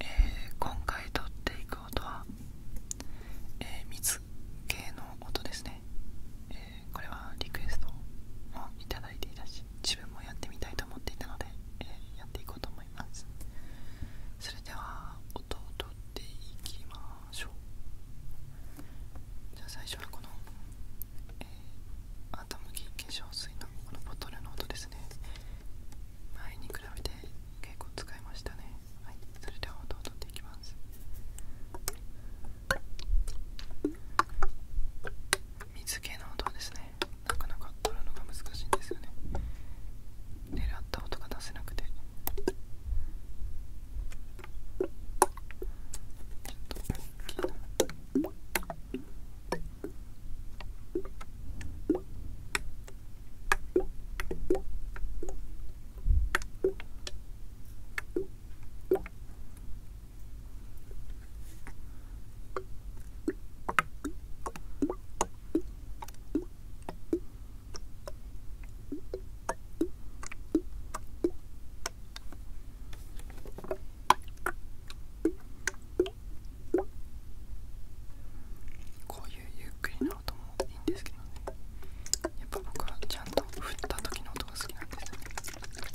え今回取っていく音は、えー、水系の音ですね。えこれはリクエストをいただいていたし自分もやってみたいと思っていたので、えやっていこうと思いますそれでは音を取っていきましょうじゃあ最初はこの、えー、頭き化粧水のこのボトルの音ですね前に比べて結構使いましたねはいそれでは音を取っていきます水系の音ですねなかなか取るのが難しいんですよね狙った音が出せなくてちょっと大きいなここういうゆっくりな音もいいんですけどねやっぱ僕はちゃんと振った時の音が好きなんですよね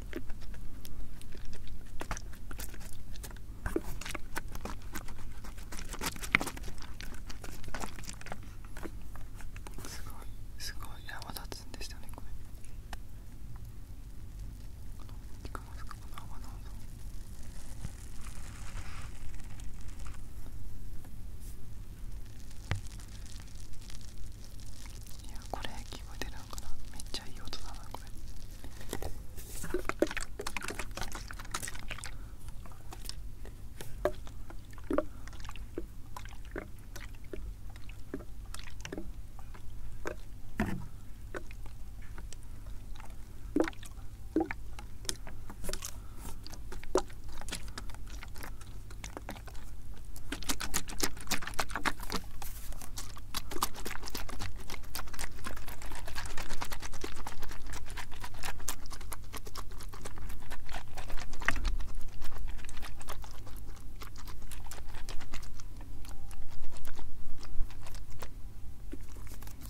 すごいすごい泡立つんですよねこれこえますかこの泡の音すいやこれ聞こえてるのかなめっちゃいい音だなこれ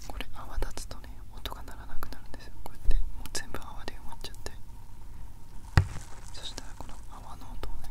これ泡立つとね音が鳴らなくなるんですよこうやってもう全部泡で埋まっちゃってそしたらこの泡の音をね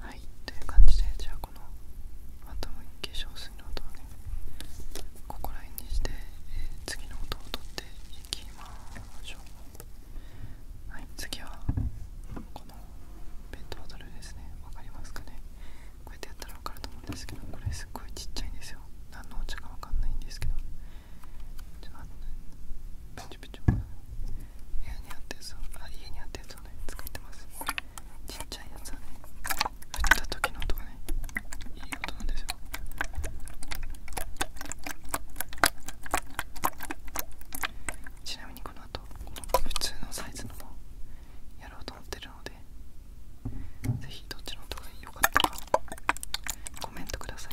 はいという感じでじゃあこのアトム化粧水の音をねここら辺にして、え次の音を取っていきましょうはい次はこのペットボトルですねわかりますかねこうやってやったらわかると思うんですけどこれすっごいちっちゃいんですよ何のお茶かわかんないんですけどじゃあと待ってペチョペチョ部にあったやつをあ家にあったやつをね使ってますちっちゃいやつはね振った時の音がねいい音なんですよちなみにこの後この普通のサイズのものやろうと思ってるのでぜひどっちの音が良かったかコメントください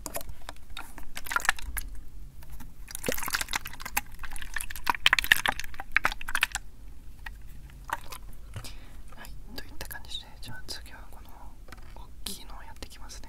はいといった感じでじゃあ次はこの大きいのをやっていきますね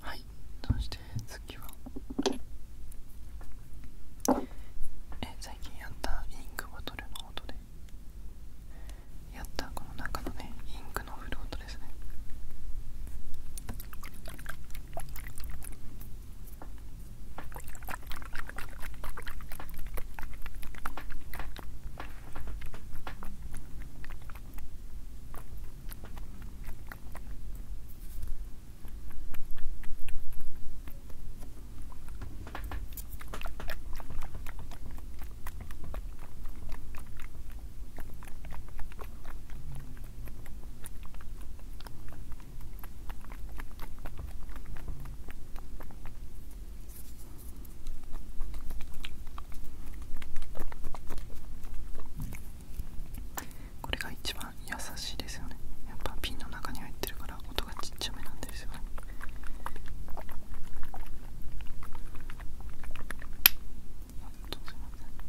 はいどうして次はえ最近やったインクボトルの音でやったこの中のねインクのフロートですねこれが一番優しいですよねやっぱピンの中に入ってるから音がちっちゃめなんですよね本当すいませんこ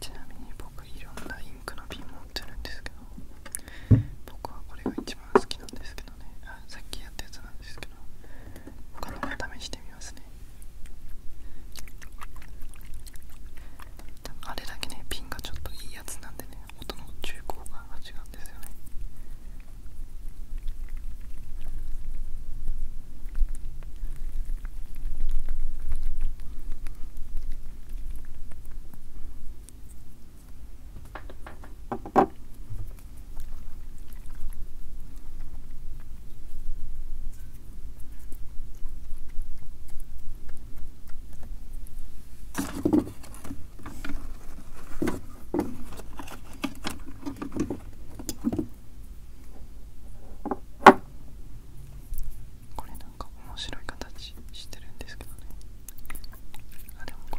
ちなみに僕いろんなインクの瓶持ってるんですけど僕はこれが一番好きなんですけどさっきやったやつなんですけど他のも試してみますねあれだけねピンがちょっといいやつなんでね音の中高が違うんですよねこれなんか面白い形してるんですけどね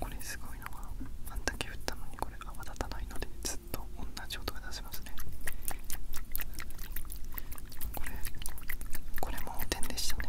これすごいのがあんだけ振ったのにこれ泡立たないのでずっと同じ音が出せますね。これこれも点でしたね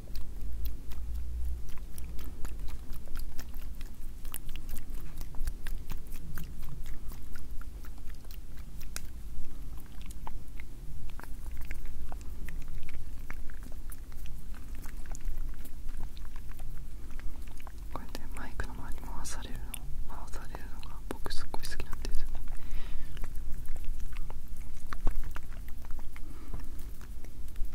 こうやってマイクの周り回されるの回されるのが僕すっごい好きなんですよね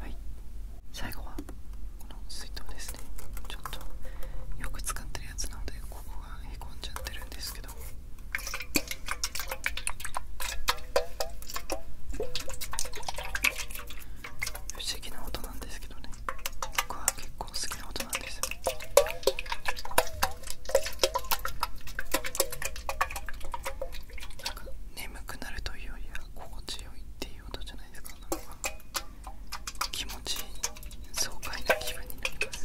はい最後はこの水筒ですねちょっとよく使ってるやつなのでここがへこんじゃってるんですけど不思議な音なんですけどねね僕は結構好きな音なんですよなんか眠くなるというよりは心地よいっていう音じゃないですかなんか気持ちいい爽快な気分になります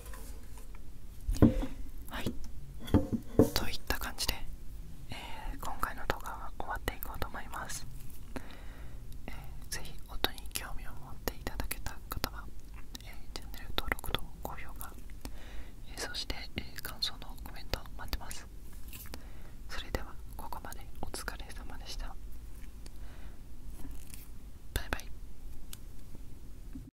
はいといった感じで、え今回の動画は終わっていこうと思います、えー、ぜひ音に興味を持っていただけた方は、えチャンネル登録と高評価、えそして、え感想のコメント待ってますそれではここまでお疲れ様でしたバイバイ